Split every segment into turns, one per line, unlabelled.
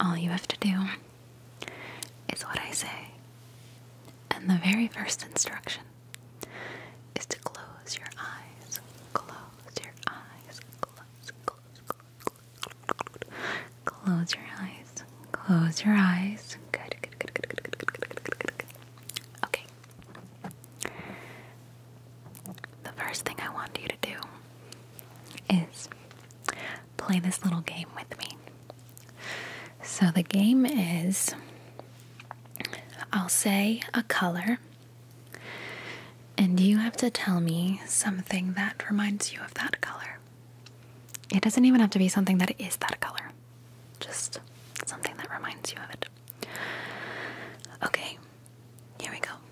All you have to do is what I say. And the very first instruction is to close your eyes. Close your eyes. Close, close, close, close. Close your eyes. Close your eyes. Good, good, good, good, good, good, good, good, Okay. The first thing I want you to do is play this little game with me. So, the game is I'll say a color, and you have to tell me something that reminds you of that color. It doesn't even have to be something that is that color, just something that reminds you of it. Okay, here we go.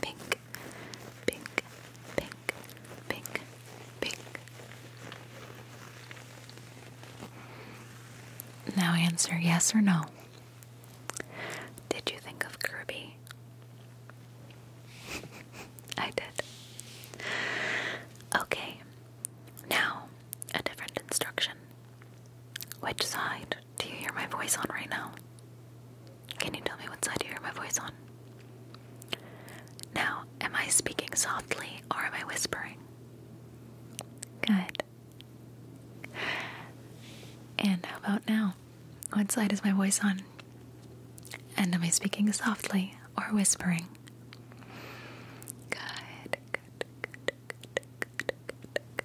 pink, pink, pink, pink, pink. Now answer yes or no. Did you think of Kirby? I did. Okay, now a different instruction. Which side do you hear my voice on right now? Can you tell me what side you hear my voice on? Now, am I speaking softly or am I whispering? Good. And how about now? What side is my voice on? And am I speaking softly or whispering? good, good, good, good, good, good,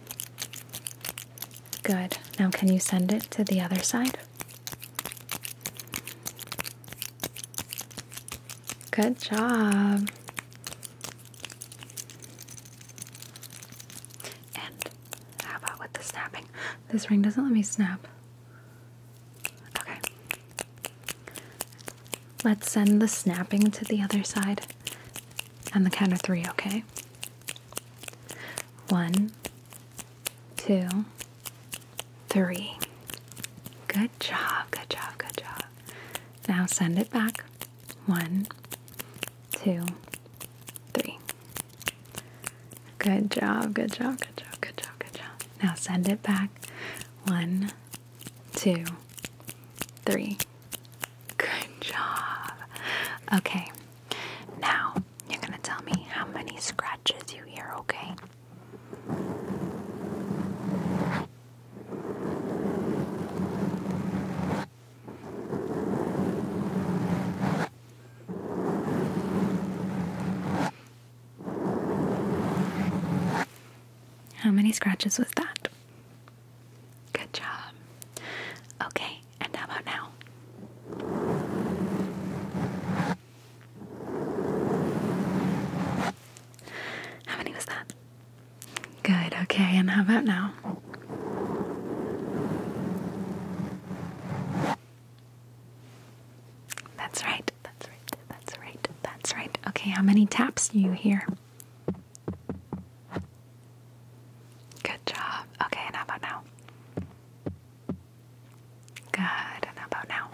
Good. Now, can you send it to the other side? Good job. And how about with the snapping? This ring doesn't let me snap. Okay. Let's send the snapping to the other side on the count of three, okay? One, two, three. Good job, good job, good job. Now send it back. One, two, three. Good job, good job, good job, good job, good job. Now send it back. One, two, three. Good job. Okay, now you're gonna tell me how many scratches you hear, okay? How many scratches was that? Good job. Okay, and how about now? How many was that? Good, okay, and how about now? That's right, that's right, that's right, that's right. Okay, how many taps do you hear? Good job. Okay, and how about now? Good, and how about now?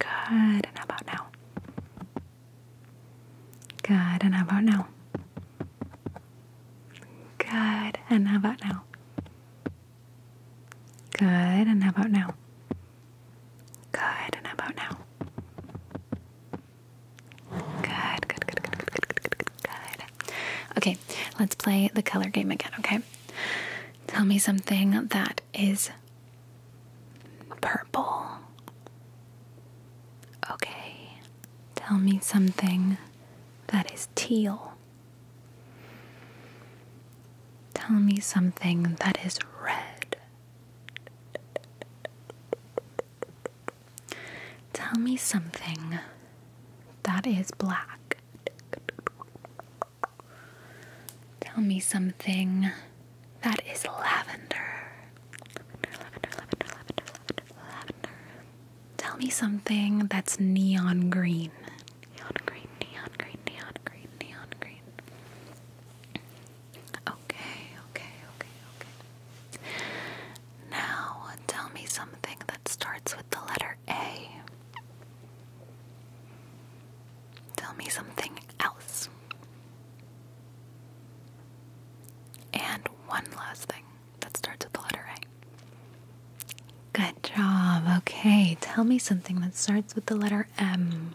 Good, and how about now? Good, and how about now? Good, and how about now? Good, about now? good, good, good, good, good, good, good, good. Okay, let's play the color game again, okay? Tell me something that is purple. Okay, tell me something that is teal. Tell me something that is red. Tell me something that is black. Tell me something that is lavender. Tell me something that's neon green. Okay, okay, okay, okay. Now tell me something that starts with the letter A. Tell me something else. And one last thing that starts with the letter A. Good job. Okay, tell me something that starts with the letter M.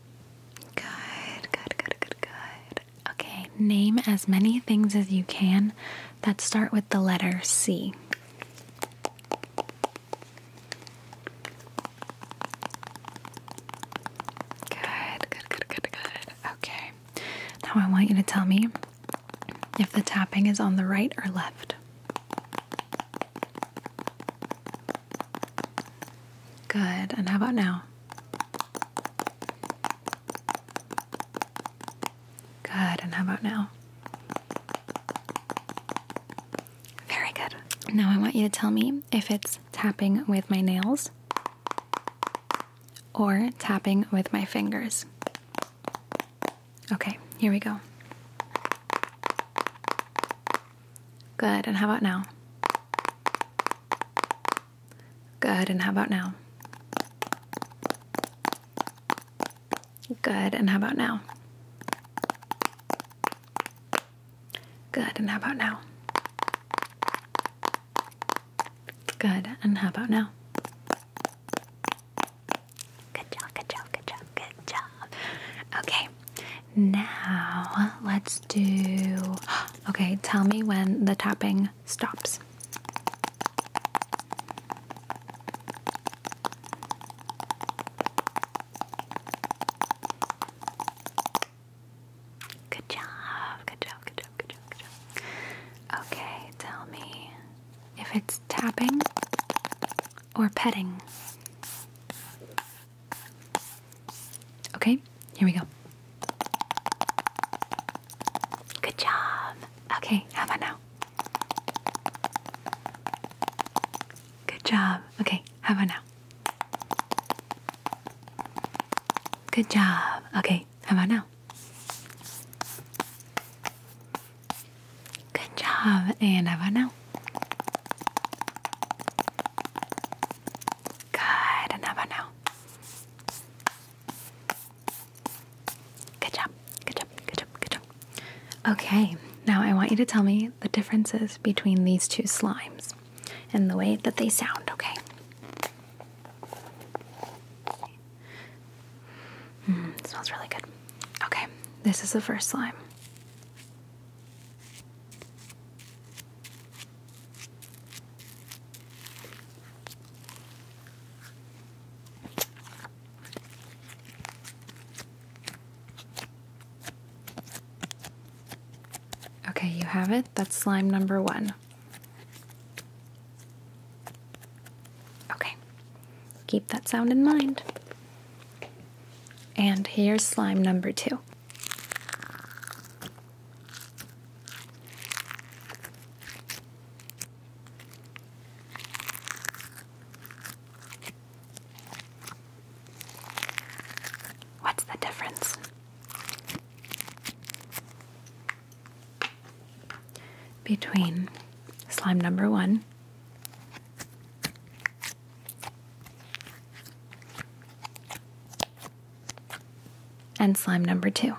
Good, good, good, good, good. Okay, name as many things as you can that start with the letter C. Good, good, good, good, good. Okay, now I want you to tell me if the tapping is on the right or left. Good. And how about now? Good. And how about now? Very good. Now I want you to tell me if it's tapping with my nails or tapping with my fingers. Okay, here we go. Good. And how about now? Good. And how about now? Good. And how about now? Good. And how about now? Good. And how about now? Good job, good job, good job, good job. Okay, now let's do. Okay, tell me when the tapping stops. good job, good job, good job, good job. Okay, tell me if it's tapping or petting. Okay, here we go. Good job. Okay, how about now? Good job. Okay, how about now? Good job. Okay, how about now? Good job. And how about now? Good, another now. Good job, good job, good job, good job. Okay, now I want you to tell me the differences between these two slimes and the way that they sound, okay? Mm, smells really good. Okay, this is the first slime. Okay, you have it. That's slime number one. Okay, keep that sound in mind. And here's slime number two. What's the difference? Between slime number one and slime number two.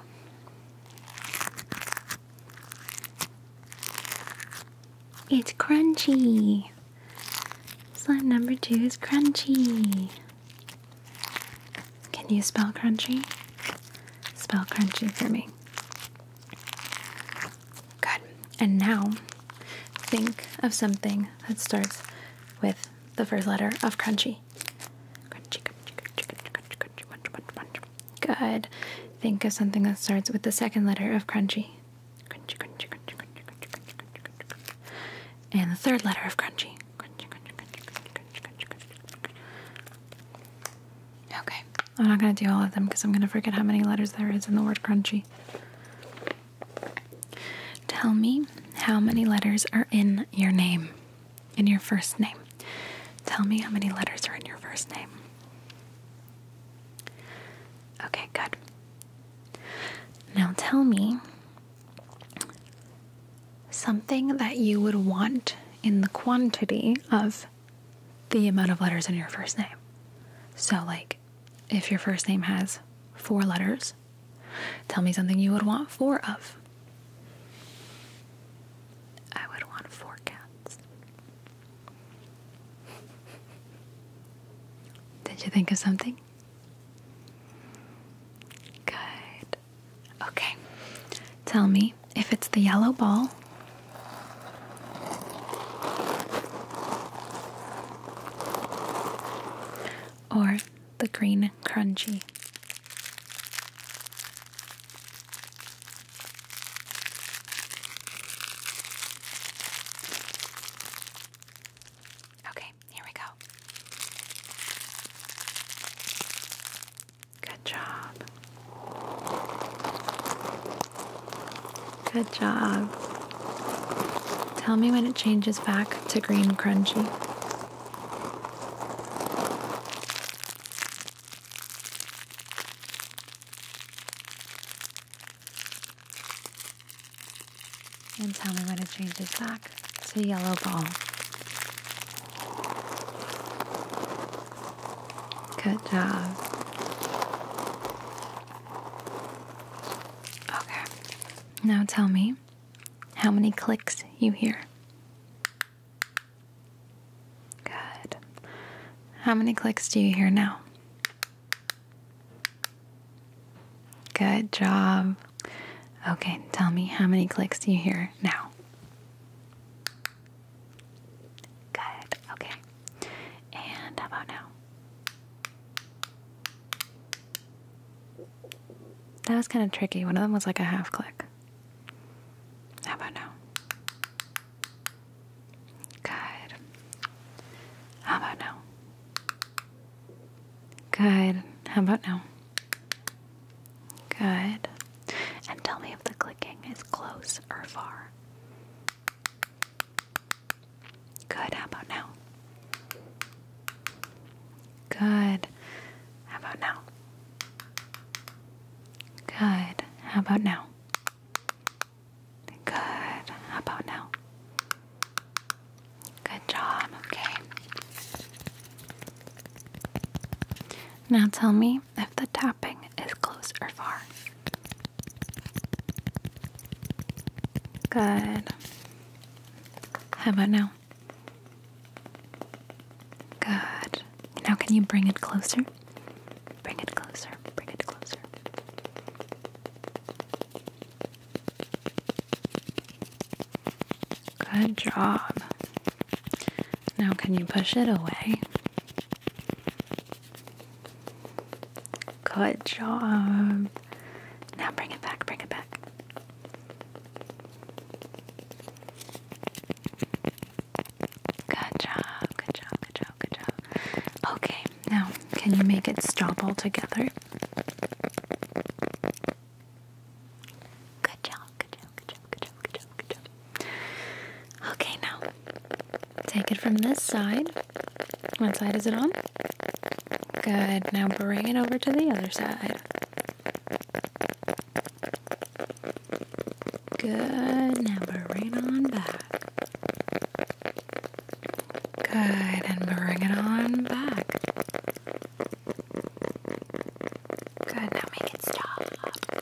It's crunchy. Slime number two is crunchy. Can you spell crunchy? Spell crunchy for me. Good. And now think of something that starts with the first letter of crunchy. Crunchy, crunchy, crunchy, crunchy, crunchy, munch, munch, munch. Good. Think of something that starts with the second letter of crunchy. Crunchy, crunchy, crunchy, crunchy, crunchy, crunchy, crunchy, crunchy. And the third letter of crunchy. Crunchy, crunchy, crunchy, crunchy, crunchy, crunchy, crunchy. Okay. I'm not going to do all of them because I'm going to forget how many letters there is in the word crunchy. Tell me how many letters are in your name, in your first name. Tell me how many letters are in your first name. Okay, good. Now tell me something that you would want in the quantity of the amount of letters in your first name. So, like if your first name has four letters, tell me something you would want four of. I would want four cats. Did you think of something? Good. Okay. Tell me if it's the yellow ball or the green crunchy. Okay, here we go. Good job. Good job. Tell me when it changes back to green crunchy. And tell me when it changes back to yellow ball. Good job. Okay. Now tell me how many clicks you hear. Good. How many clicks do you hear now? Good job. Okay, tell me how many clicks you hear now? Good, okay. And how about now? That was kind of tricky. One of them was like a half click. How about now? Good. How about now? Good. How about now? Good. And tell me if the clicking is close or far. Good. How about now? Good. How about now? Good. How about now? Good. How about now? Good job. Okay. Now tell me, if the tapping is close or far. Good. How about now? Good. Now, can you bring it closer? Bring it closer. Bring it closer. Good job. Now, can you push it away? Good job. Now bring it back, bring it back. Good job, good job, good job, good job. Okay, now can you make it stop altogether? Good job, good job, good job, good job, good job, good job. Okay, now take it from this side. One side is it on? Good. Now bring it over to the other side. Good. Now bring it on back. Good. And bring it on back. Good. Now make it stop.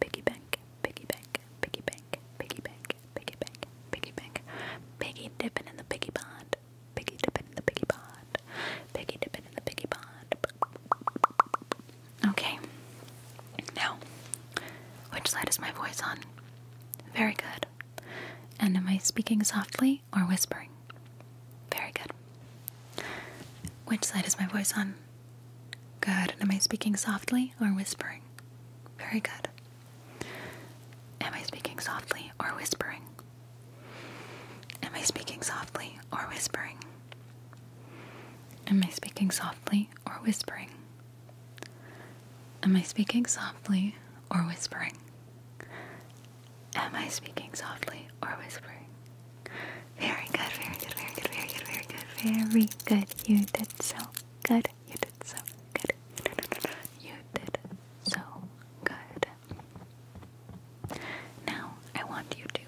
piggy bank, piggy bank, piggy bank, piggy bank, piggy bank, piggy bank, piggy dipping in the piggy pond, piggy dipping in the piggy pond, piggy dipping in the piggy pond. Okay. Now, which side is my voice on? Very good. And am I speaking softly or whispering? Very good. Which side is my voice on? Good. am I speaking softly or whispering? Very good. Am I speaking softly or whispering? Am I speaking softly or whispering? Am I speaking softly or whispering? Am I speaking softly or whispering? Am I speaking softly or whispering? Very good, very good, very good, very good, very good, very good. You did so good. You did so good. You did so good. Now, I want you to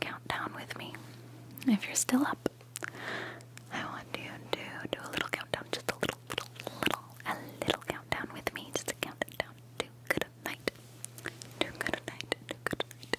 count down with me. If you're still up, I want you to do a little countdown, just a little, little, little, a little countdown with me, just a countdown to good night. To good night, to good night,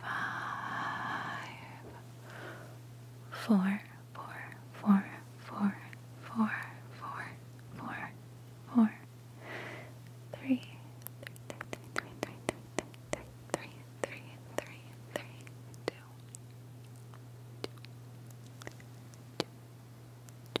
five, four, four, four, four, four, four, four, four, three, three, three, three, three, three, three, three, three, three, two, two, two, two,